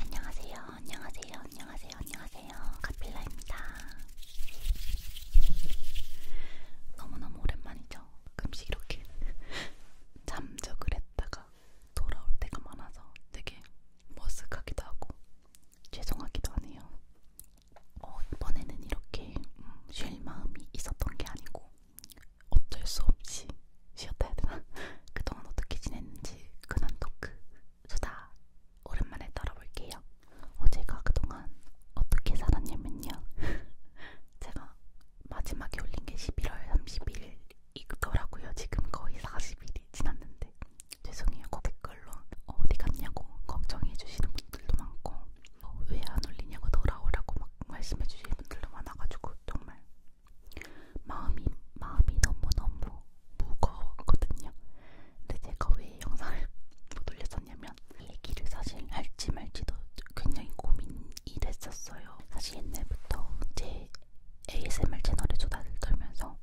안녕하세요. 안녕하세요. 안녕하세요. 안녕하세요. 카필라입니다. 너무너무 오랜만이죠. 금식 이렇게 잠적을 했다가 돌아올 때가 많아서 되게 머쓱하기도 하고 죄송하기도 하네요. 어, 이번에는 이렇게 음, 쉴 마음이 있었던 게 아니고 어쩔 수 없이 쉬었다 해야 되나? 그동안 어떻게 지냈는지 근황 토크 수다 오랜만에 떨어볼게요. 어, 제가 그동안 어떻게 살았냐면요. 제가 마지막에 올린 게 11월 31일이더라고요. 지금 거의 40일이 지났는데 죄송해요. 그 댓글로 어, 어디 갔냐고 걱정해주시는 분들도 많고 어, 왜안 올리냐고 돌아오라고 막 말씀해주시는 분들도 많아가지고 정말 마음이 마음이 너무너무 무거웠거든요. 근데 제가 왜 영상을 못 올렸었냐면 이 얘기를 사실 할지 말지도 굉장히 고민이 됐었어요. 사실 옛날부터 제 ASMR 채널에 조달을 떨면서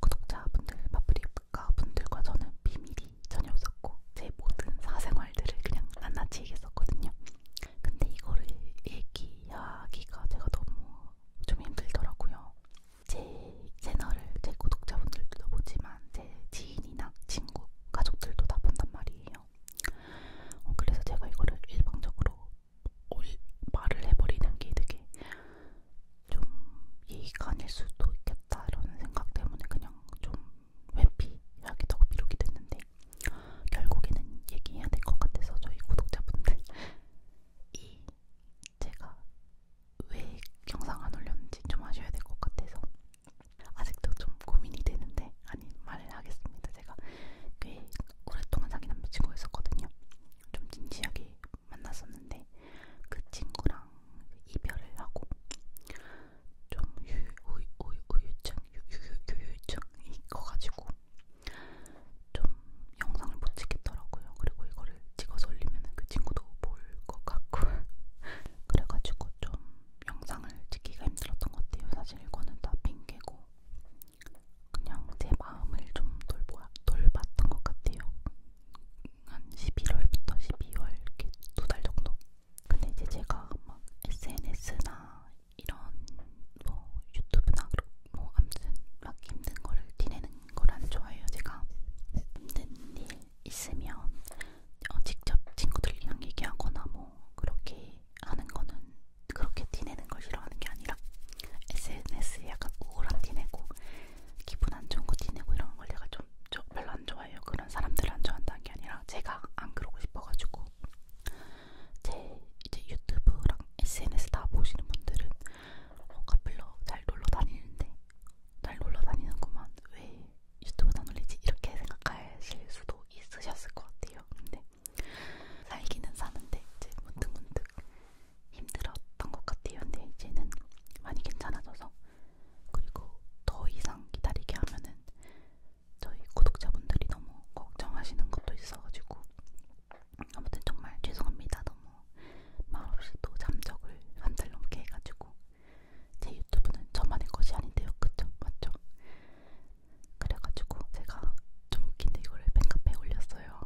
구독자분들, 마프리카분들과 저는 비밀이 전혀 없었고 제 모든 사생활들을 그냥 낱낱이 얘기했었거든요. 근데 이거를 얘기 이야기가 제가 너무 좀 힘들더라고요. 제 채널을 제 구독자분들도 보지만 제 지인이나 친구, 가족들도 다 본단 말이에요. 어, 그래서 제가 이거를 일방적으로 말을 해버리는 게 되게 좀 예의가 아닐 수도 있겠다라는 생각 때문에 그냥 좀 회피하겠다고 미루게 됐는데 결국에는 얘기해야 될 것 같아서 저희 구독자분들 이 제가 왜 영상 안 올렸는지 좀 아셔야 될 것 같아서 아직도 좀 고민이 되는데 아니 말을 하겠습니다. 제가 꽤 오랫동안 사귄 남자친구 있었거든요. 좀 진지하게 만났었는데 그 친구랑 이별을 하고 좀 우유, 우유, 우유증 유유유유증이 커가지고 좀 영상을 못 찍겠더라고요. 그리고 이거를 찍어서 올리면 그 친구도 볼 것 같고 그래가지고 좀 영상을 찍기가 힘들었던 것 같아요. 사실 이거는 다 핑계고 그냥 제 마음을 좀 돌보, 돌봤던 것 같아요. 한 11월부터 12월 이렇게 두 달 정도. 근데 이제 제가 막 SNS나 이런 뭐 유튜브나 뭐 아무튼 막 힘든 거를 티내는 걸안 좋아해요 제가 힘든 일 있으면 어, 직접 친구들이랑 얘기하거나 뭐 그렇게 하는 거는 그렇게 티내는 걸 싫어하는 게 아니라 SNS에 약간 우울한 티내고 기분 안 좋은 거 티내고 이런 걸 내가 좀, 좀 별로 안 좋아해요 그런 사람들을 안 좋아한다는 게 아니라 제가 안 그러고 싶어가지고 제 이제 유튜브랑 SNS 다 보시는 분들은 어, 카플러 잘 놀러 다니는데 잘 놀러 다니는구만 왜 유튜브 다 놀리지 이렇게 생각하실 수도 있으셨을 것 같아요. 근데 살기는 사는데 이제 문득문득 힘들었던 것 같아요. 근데 이제는 많이 괜찮아져서 그리고 더 이상 기다리게 하면은 저희 구독자분들이 너무 걱정하시는 것도 있어가지고 아무튼 정말 죄송합니다. 너무 말없이 또 잠적을 한 달 넘게 해가지고 제 유튜브는 저만의 것이 아닌데요, 그쵸? 맞죠? 그래가지고 제가 좀 웃긴데 이거를 팬카페에 올렸어요.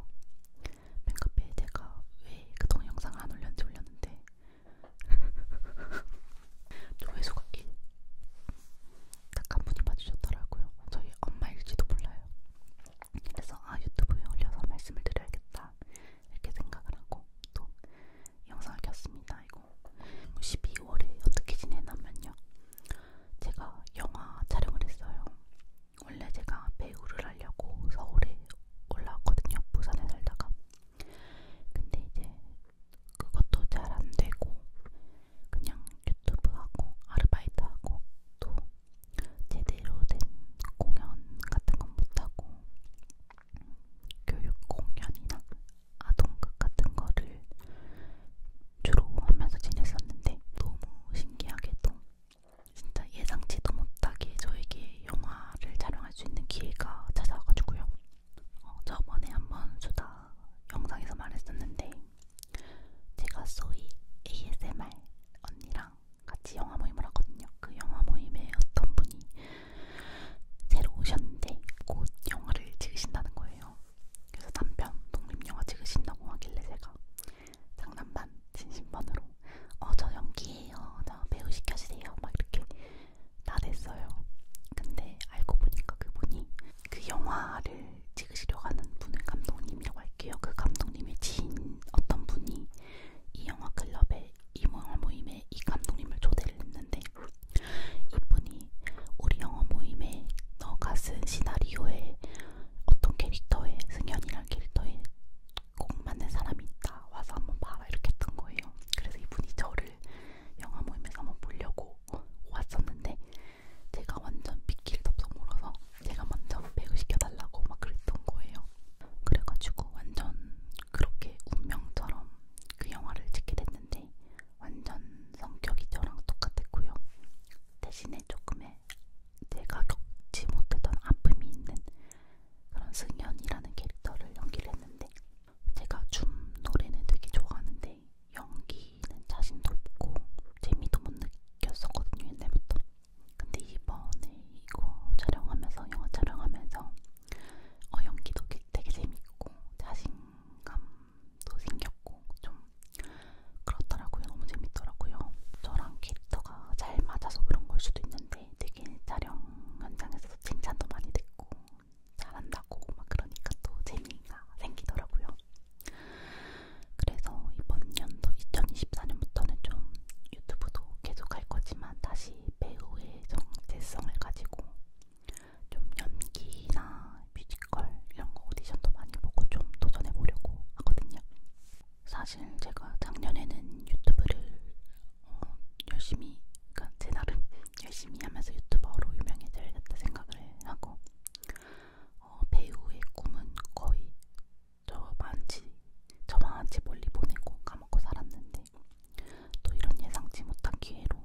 팬카페에 제가 왜 그 동영상을 안 올렸는지 올렸는데 조회수가 1. 딱한 분이 봐주셨더라고요. 저희 엄마일지도 몰라요. 그래서 아 유튜브에 올려서 말씀을 드려야겠다 이렇게 생각을 하고 또 영상을 켰습니다. 이거 12월에 뭐 어떻게 지내냐면요. 제가 영화 촬영을 했어요. 원래 제가 배우를 하려고 서울에 올라왔거든요. 부산에 살다가. 근데 이제 그것도 잘 안되고 그냥 유튜브하고 아르바이트하고 또 제대로 된 공연 같은 건 못하고 교육 공연이나 아동극 같은 거를 주로 하면서 지냈었는데 너무 신기하게도 진짜 예상치도 못하게 저에게 영화를 촬영할 수 있는 기회가 찾아와가지고요. 어, 저번에 한번 수다 영상에서 말했었는데 제가 소위 ASMR 언니랑 같이 영화 모임을 하거든요. 그 영화 모임에 어떤 분이 새로 오셨는데 곧 영화를 찍으신다는 거예요. 그래서 남편 독립영화 찍으신다고 하길래 제가 장난반 진심반으로 어 저 연기예요. 저 배우 시켜주세요. 막 이렇게 다 됐어요. 근데 알고 보니까 그분이 그 영화를 찍으시려고 하는 분을 감독님이라고 할게요. 그 감독님의 지인 어떤 분이 이 영화 클럽에 이 영화 모임에 이 감독님을 초대를 했는데 이분이 우리 영화 모임에 너가 쓴 시나리오에 어떤 캐릭터에 승현이란 캐릭터에 꼭 맞는 사람이 있다 와서 한번 봐라 이렇게 했던 거예요. 그래서 이분이 저를 를 영화 모임에서 한번 보려고 왔었는데 제가 완전 빗길 덥석 물어서 제가 먼저 배우 시켜달라고 막 그랬던 거예요. 그래가지고 완전 그렇게 운명처럼 그 영화를 찍게 됐는데 완전 성격이 저랑 똑같았고요. 대신에 조금의 제가 겪지 못했던 아픔이 있는 그런 승연이라는 캐릭터를 연기를 했는데 제가 춤 노래는 되게 좋아하는데 연기는 자신도 없고 재미도 못 느꼈었거든요 옛날부터. 근데 이번에 이거 촬영하면서 영화 촬영하면서 어, 연기도 되게 재밌고 자신감도 생겼고 좀 그렇더라고요. 너무 재밌더라고요. 저랑 캐릭터가 잘 맞아서 그런 걸 수도 있는데 했는데 되게 촬영 현장에서 칭찬도 많이 듣고 잘한다고 막 그러니까 또 재미가 생기더라고요. 그래서 이번 연도 2024년부터는 좀 유튜브도 계속 할 거지만 다시 배우의 정체성을 가지고 좀 연기나 뮤지컬 이런 거 오디션도 많이 보고 좀 도전해 보려고 하거든요. 사실 제가 작년에는 유튜브를 어, 열심히 그러니까 제 나름 열심히 하면서 유튜버로 유명해져야겠다 생각을 하고 어, 배우의 꿈은 거의 저만치 저만치 멀리 보내고 까먹고 살았는데 또 이런 예상치 못한 기회로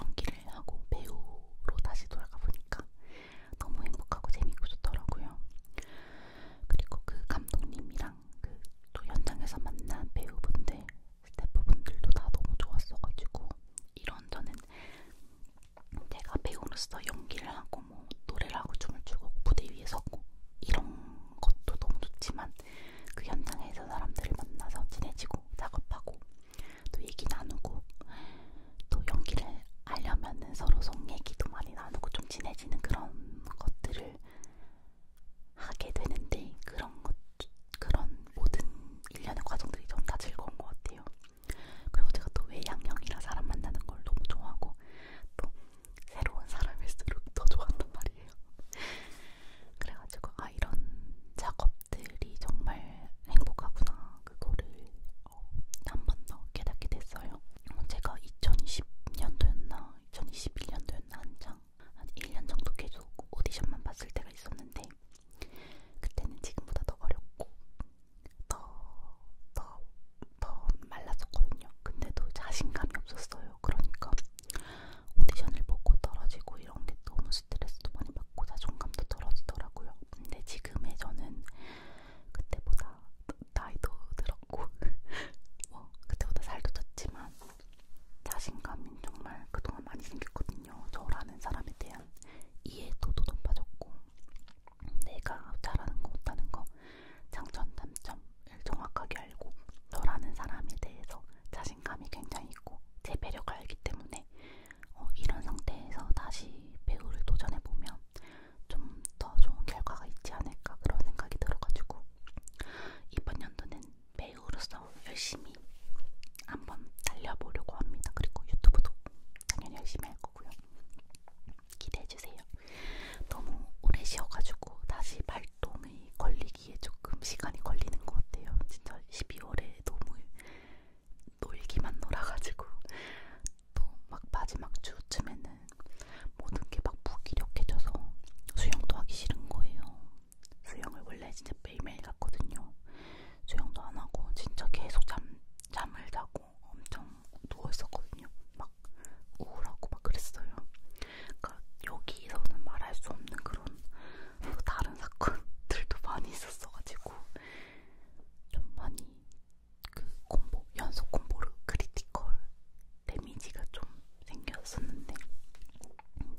연기를 하고 배우로 다시 돌아가 보니까 너무 행복하고 재밌고 좋더라고요. 그리고 그 감독님이랑 항상 그또 현장에서 만난 배우분들, 스태프분들도 다 너무 좋았어가지고 이런 저는 내가 배우로서 연기를 하고 뭐 노래를 하고 춤을 추고 무대 위에 서고 이런 것도 너무 좋지만 그 현장에서 사람들을 만나서 친해지고 작업하고 또 얘기 나누고 또 연기를 하려면은 서로 속 얘기도 많이 나누고 좀 친해지는 그런 것들을 하게 되는데 그런 것 그런 모든 일련의 과정들이 전 다 즐거운 것 같아요. 그리고 제가 또 외향형이라 사람 만나는 걸 너무 좋아하고 또 새로운 사람일수록 더 좋아한단 말이에요. 그래가지고 아 이런 작업들이 정말 행복하구나 그거를 어, 한번 더 깨닫게 됐어요. 어, 제가 2020년도였나 2021년도였나 한창 한 1년 정도 계속 오디션만 봤을 때가 있었는데 그때는 지금보다 더 어렵고 더더더 더, 더 말랐었거든요. 근데도 자신감이 없었어요. 그러니까 오디션을 보고 떨어지고 이런 게 너무 스트레스도 많이 받고 자존감도 떨어지더라고요. 근데 지금의 저는 그때보다 나이도 들었고 뭐 그때보다 살도 쪘지만 자신감이 정말 그동안 많이 생겼거든요. 저라는 사람에 대한 이해도도 높아졌고 내가 잘하는 거 못하는 거 장점 단점을 정확하게 알고 저라는 사람에 대해서 자신감이 굉장히 있고 제 매력을 알기 때문에 어, 이런 상태에서 다시 배우를 도전해보면 좀더 좋은 결과가 있지 않을까 그런 생각이 들어가지고 이번 연도는 배우로서 열심히 한번 달려보려고 합니다. 그리고 유튜브도 당연히 열심히 할 거고요. 기대해주세요. 너무 오래 쉬어가지고 다시 발동이 걸리기에 조금 시간이 걸리는 것 같아요. 진짜 12월에 너무 놀기만 놀아가지고 연습도 막 마지막 주쯤에는 모든 게 막 무기력해져서 수영도 하기 싫은 거예요. 수영을 원래 진짜 매일매일 갔거든요. 수영도 안 하고 진짜 계속 잠, 잠을 자고 엄청 누워있었거든요. 막 우울하고 막 그랬어요. 그러니까 여기서는 말할 수 없는 그런 또 다른 사건들도 많이 있었어가지고 좀 많이 그 콤보 연속 콤보로 크리티컬 데미지가 좀 생겼었는데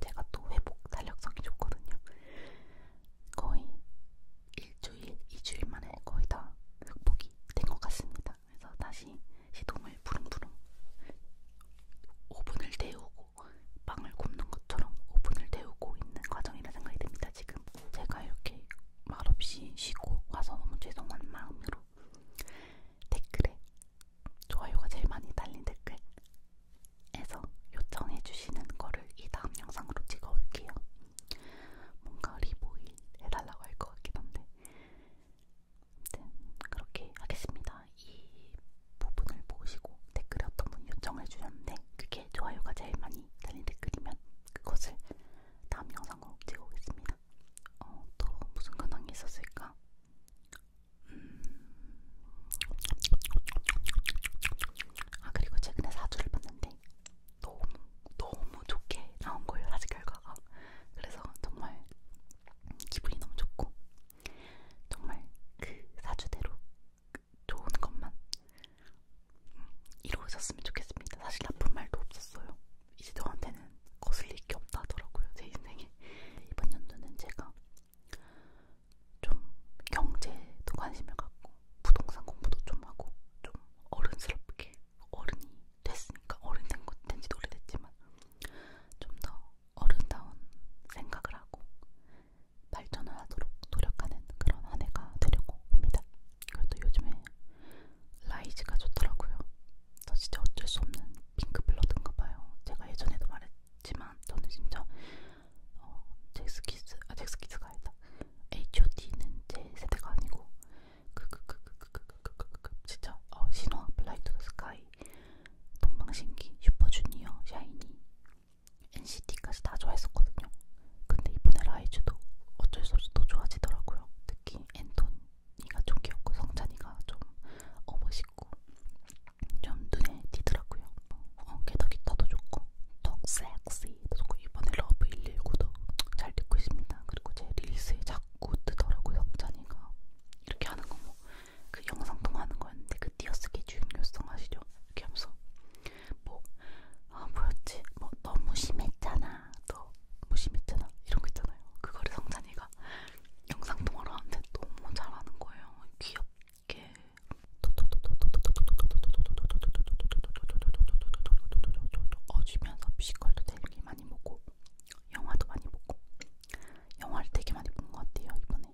제가 또 회복 탄력성이 좋거든요. 거의 일주일, 이주일 만에 거의 다 극복이 된 것 같습니다. 그래서 다시 시동을 부릉부릉 오븐을 데우고 빵을 굽는 것처럼 오븐을 데우고 있는 과정이라 생각이 듭니다. 지금 제가 이렇게 말없이 쉬고 와서 너무 죄송한 마음으로 댓글에 좋아요가 제일 많이 달린 댓글 에서 요청해 주시는 거를 이 다음 영상으로 찍어 올게요. 뭔가 리보일 해달라고 할 것 같긴 한데 아무튼 그렇게 하겠습니다. 이 부분을 보시고 댓글에 어떤 분이 요청을 주셨는데 그게 좋아요가 제일 많이 달린 댓글이면 그것을 다음 영상 꼭 찍어 오겠습니다. 어, 또 무슨 근황이 있었을까? 음... 아 그리고 최근에 사주를 봤는데 너무 너무 좋게 나온 거예요 사주 결과가 그래서 정말 기분이 너무 좋고 정말 그 사주대로 좋은 것만 이루어졌으면 좋겠습니다. 사실 나쁜 말도 없었어요. 이제 너한테는 거슬릴 게 없다 하더라고요. 제 인생에. 이번 연도는 제가 좀 경제도 관심을 갖고 부동산 공부도 좀 하고 좀 어른스럽게 어른이 됐으니까 어른 된지 오래됐지만 좀 더 어른다운 생각을 하고 발전을 하도록 노력하는 그런 한 해가 되려고 합니다. 그래도 요즘에 라이즈가 좋더라고요. 저 진짜 어쩔 수 없는 핑크블러드인가 봐요. 제가 예전에도 말했지만 저는 진짜 어, 잭스키스, 아 잭스키스가 아니다. H.O.T.는 제 세대가 아니고 그 그 그 그그그그그그 진짜 어, 신화, 블라이트 스카이, 동방신기, 슈퍼주니어, 샤이니 NCT까지 다 좋아했었거든요. 근데 이번에 라이즈도 어쩔 수 없이 더 좋아지더라고요. 특히 앤토니가 좀 귀엽고 성찬이가 좀 어, 멋있고 좀 눈에 띄더라고요. 어, 게더 기타도 좋고 더 섹시도 좋고 이번에 러브 119도 잘 듣고 있습니다. 그리고 제 릴스에 자꾸 뜨더라고요. 성찬이가 이렇게 하는 거 뭐 그 영상 통화하는 거였는데 그 띄어쓰기 중요성 아시죠? 이렇게 하면서 뭐, 아, 뭐였지? 뭐, 너무 심했잖아. 너 무심했잖아. 뭐 이런 거 있잖아요. 그거를 성찬이가 영상통화로 하는데 너무 잘하는 거예요. 귀엽게. 어주면서 피지컬도 되게 많이 보고 영화도 많이 보고 영화를 되게 많이 본 것 같아요 이번에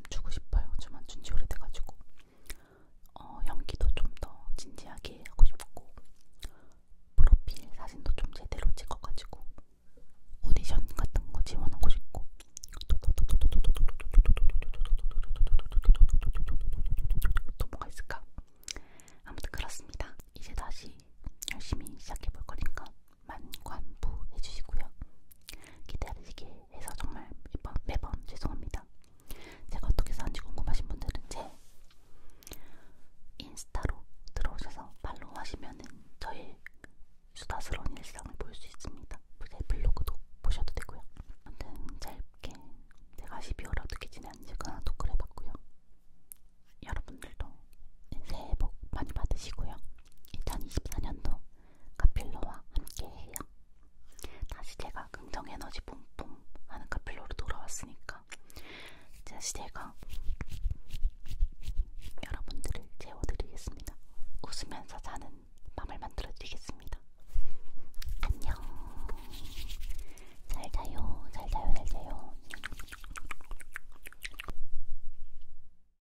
좀 주고 싶어요. 좀안 준지 오래돼가지고 어, 연기도 좀 더 진지하게 하고 싶고 프로필 사진도 좀 제대로 찍어가지고 오디션 같은 거 지원하고 싶고 또 뭐가 있을까? 아무튼 그렇습니다. 이제 다시 열심히 시작해볼 거니까 만관부 해주시고요. 기다리게 해서 정말 매번, 매번 죄송합니다. 제가 어떻게 사는지 궁금하신 분들은 제 인스타로 들어오셔서 팔로우 하시면은 저의 수다스러운 일상을 볼 수 있습니다. 제 블로그도 보셔도 되고요. 아무튼 짧게 제가 12월 어떻게 지냈는지 그냥 토크를 해봤고요. 여러분들도 새해 복 많이 받으시고요. 2024년도 카필러와 함께해요. 다시 제가 긍정에너지 뿜뿜 하는 카필러로 돌아왔으니까 다시 제가 여러분들을 재워드리겠습니다. 웃으면서 자는 밤을 만들어드리겠습니다. 안녕. 잘 자요. 잘 자요. 잘 자요.